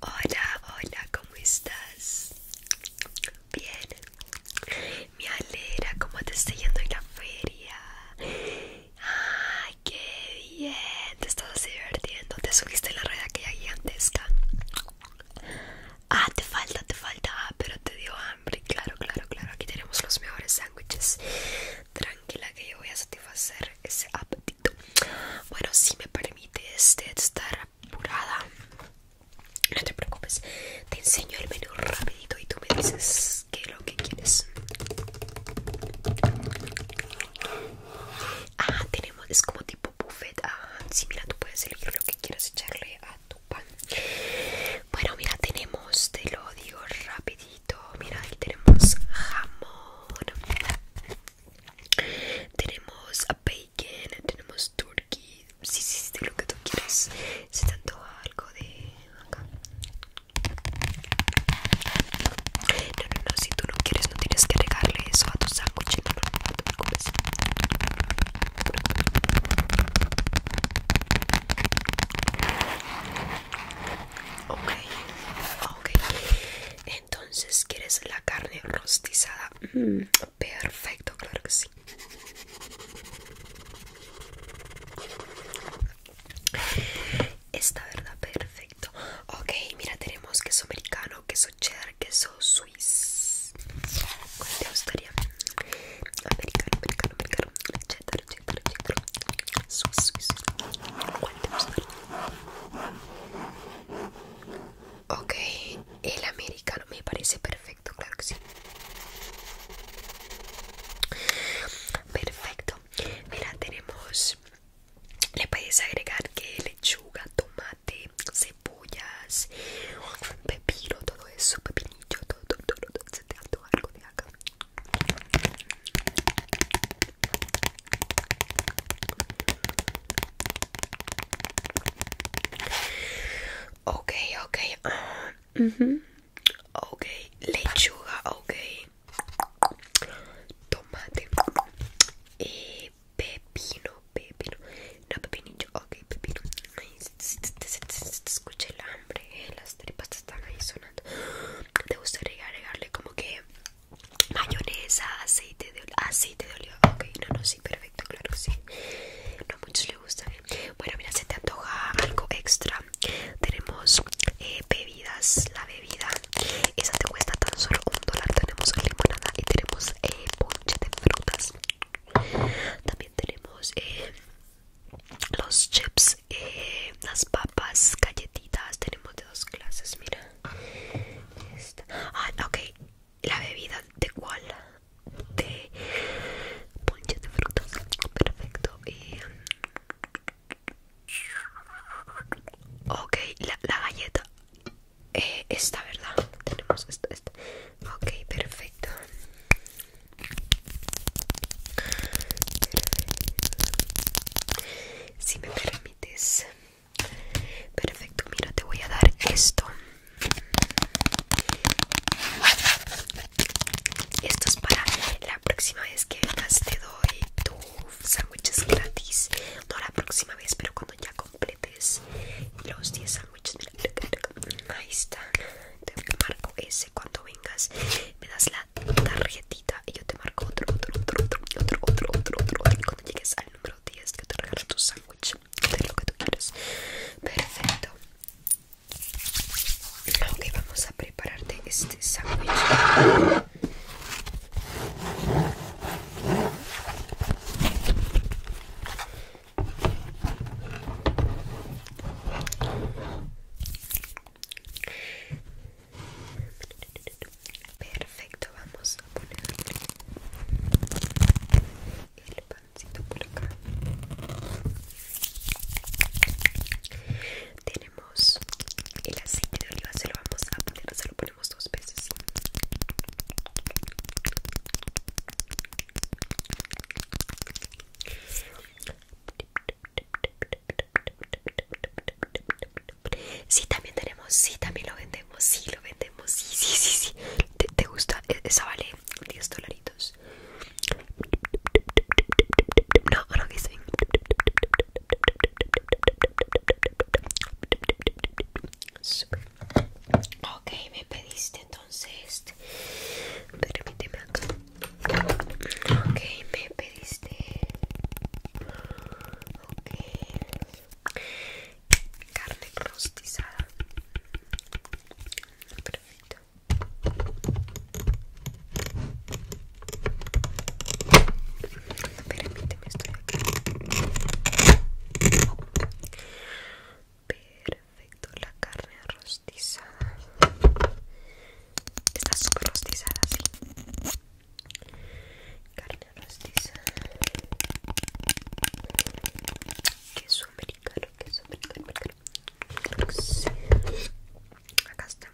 Hola, hola, ¿cómo estás? Bien, Mi alegra cómo te está yendo en la feria. ¡Ay, qué bien! Te estás divirtiendo. Te subiste en la rueda que hay gigantesca. Ah, te falta, te falta. Ah, pero te dio hambre. Claro, claro, claro. Aquí tenemos los mejores sándwiches. Tranquila que yo voy a satisfacer ese apetito. Bueno, si me permites de este, estar apurada, no te preocupes. Te enseño el menú rapidito y tú me dices qué es lo que quieres. Ah, tenemos, es como tipo buffet. Ah, sí, mira, tú puedes elegir lo que quieras echarle a tu pan. Bueno, mira, tenemos, te lo digo rapidito. Mira, aquí tenemos jamón. Tenemos bacon, tenemos turkey. Sí, sí, sí, lo que tú quieres. si te algo de No, no, no, si tú no quieres, no tienes que regarle eso a tu sándwich. No, no Ok, ok. Entonces, ¿quieres la carne rostizada? Mm, perfecto, claro que sí. Está verdad, perfecto. Ok, mira, tenemos queso americano, queso cheddar, queso suiz. ¿Cuál te gustaría? Americano, americano, americano. Ok, el americano me parece perfecto, claro que sí. Perfecto. Mira, tenemos... Le puedes agregar que lechuga, tomate, cebollas, pepino, todo eso, pepinillo, todo, todo, todo, algo de acá. Okay, okay, mhm, okay, lechuga, okay, Tomate. Y pepino, pepino. No, pepinillo, okay, pepino. Ay, se te, el hambre, estas tripas te están ahí sonando. Te gustaría agregarle como que mayonesa, aceite de oliva. Aceite ah, de oliva, ok, no, no, sí, perfecto, claro que sí. No muchos le gustan. Bueno, mira, si te antoja algo extra. Tenemos eh, bebidas, la bebida. Esa te cuesta tan solo un dólar. Tenemos limonada y tenemos eh, ponche de frutas. También tenemos eh, los chips eh, las papas galletitas tenemos de dos clases mira ah ok la bebida de cuál de ponche de frutas perfecto ok la, galleta eh, esta verdad tenemos esta esta Ok, perfecto. Si me permites. Perfecto, mira, te voy a dar esto. Esto es para la próxima vez que te doy tu sándwiches gratis. No la próxima vez, pero cuando ya completes los 10 Ahí está. Te marco ese cuando vengas. Me das la tarjetita y yo te marco otro, otro, otro, otro, otro, otro, otro, otro. Y cuando llegues al número 10, que te regalo tu sándwich. De lo que tú quieras Perfecto. Ok, vamos a prepararte este sándwich. Perfecto, vamos a poner el pancito por acá. Tenemos el aceite de oliva, se lo vamos a poner, se lo ponemos si dos veces. Sí, también tenemos, si también lo vendemos, sí, lo vendemos, sí, sí, sí, ¿Te, gusta? E, esa vale 10 dolaritos. No, no, que estoy. Super. Ok, me pediste entonces. Permíteme acá. Ok, me pediste. Ok. Carne rostizada. Perfecto. Permíteme. Perfecto, la carne rostizada. Está súper rostizada, Carne rostizada. Queso americano, queso americano. Acá está.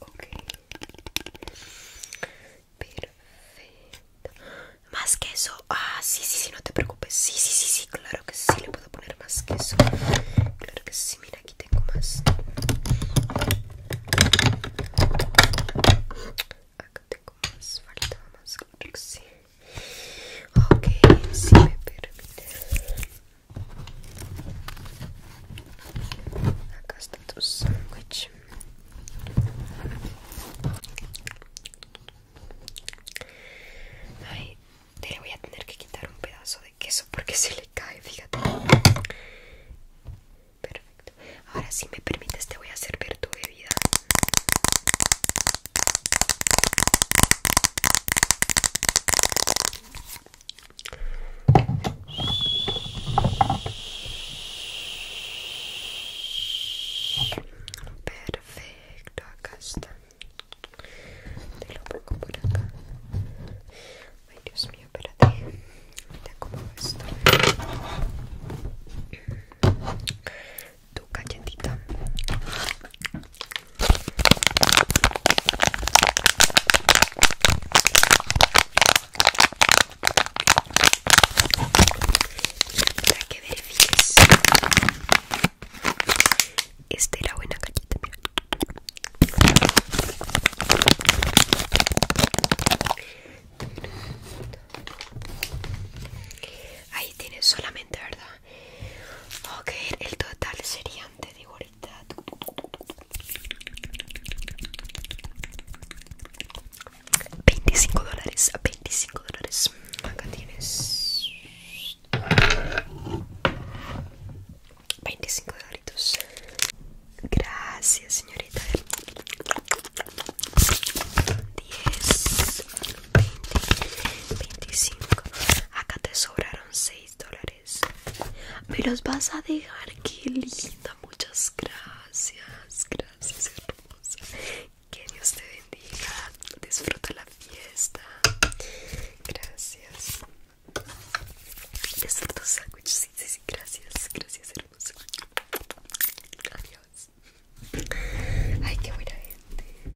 Ok. Perfecto. Más queso. Ah, sí, sí, sí, no te preocupes. Sí, sí, sí, sí, claro que sí. Le puedo poner más queso. Claro que sí, mira, aquí tengo más. Acá tengo más. Falta más, claro que sí. Ok, si me permite. Acá está tu sándwich. Ay, te voy a tener que quitar un pedazo de queso porque se le cae, fíjate. Perfecto. Ahora si me permites te voy a servir tu bebida. Perfecto, acá está. Te lo pongo por acá. Ay, Dios mío, espérate. Mira cómo como esto. Tu cachetita. Para que verifiques. Esta la buena galleta, Ahí tienes solamente, ¿verdad? Ok, el total serían, te digo $25 dólares, 25 dólares. Acá tienes 25 dólares. Gracias, señorita. 10, 20, 25. Acá te sobraron dólares. Me los vas a dejar, qué linda. Muchas gracias, gracias, hermosa. Que Dios te bendiga. Disfruta la fiesta. Gracias. sándwich. Sí, sí, sí, gracias, gracias, hermosa. Adiós. Ay, qué buena gente.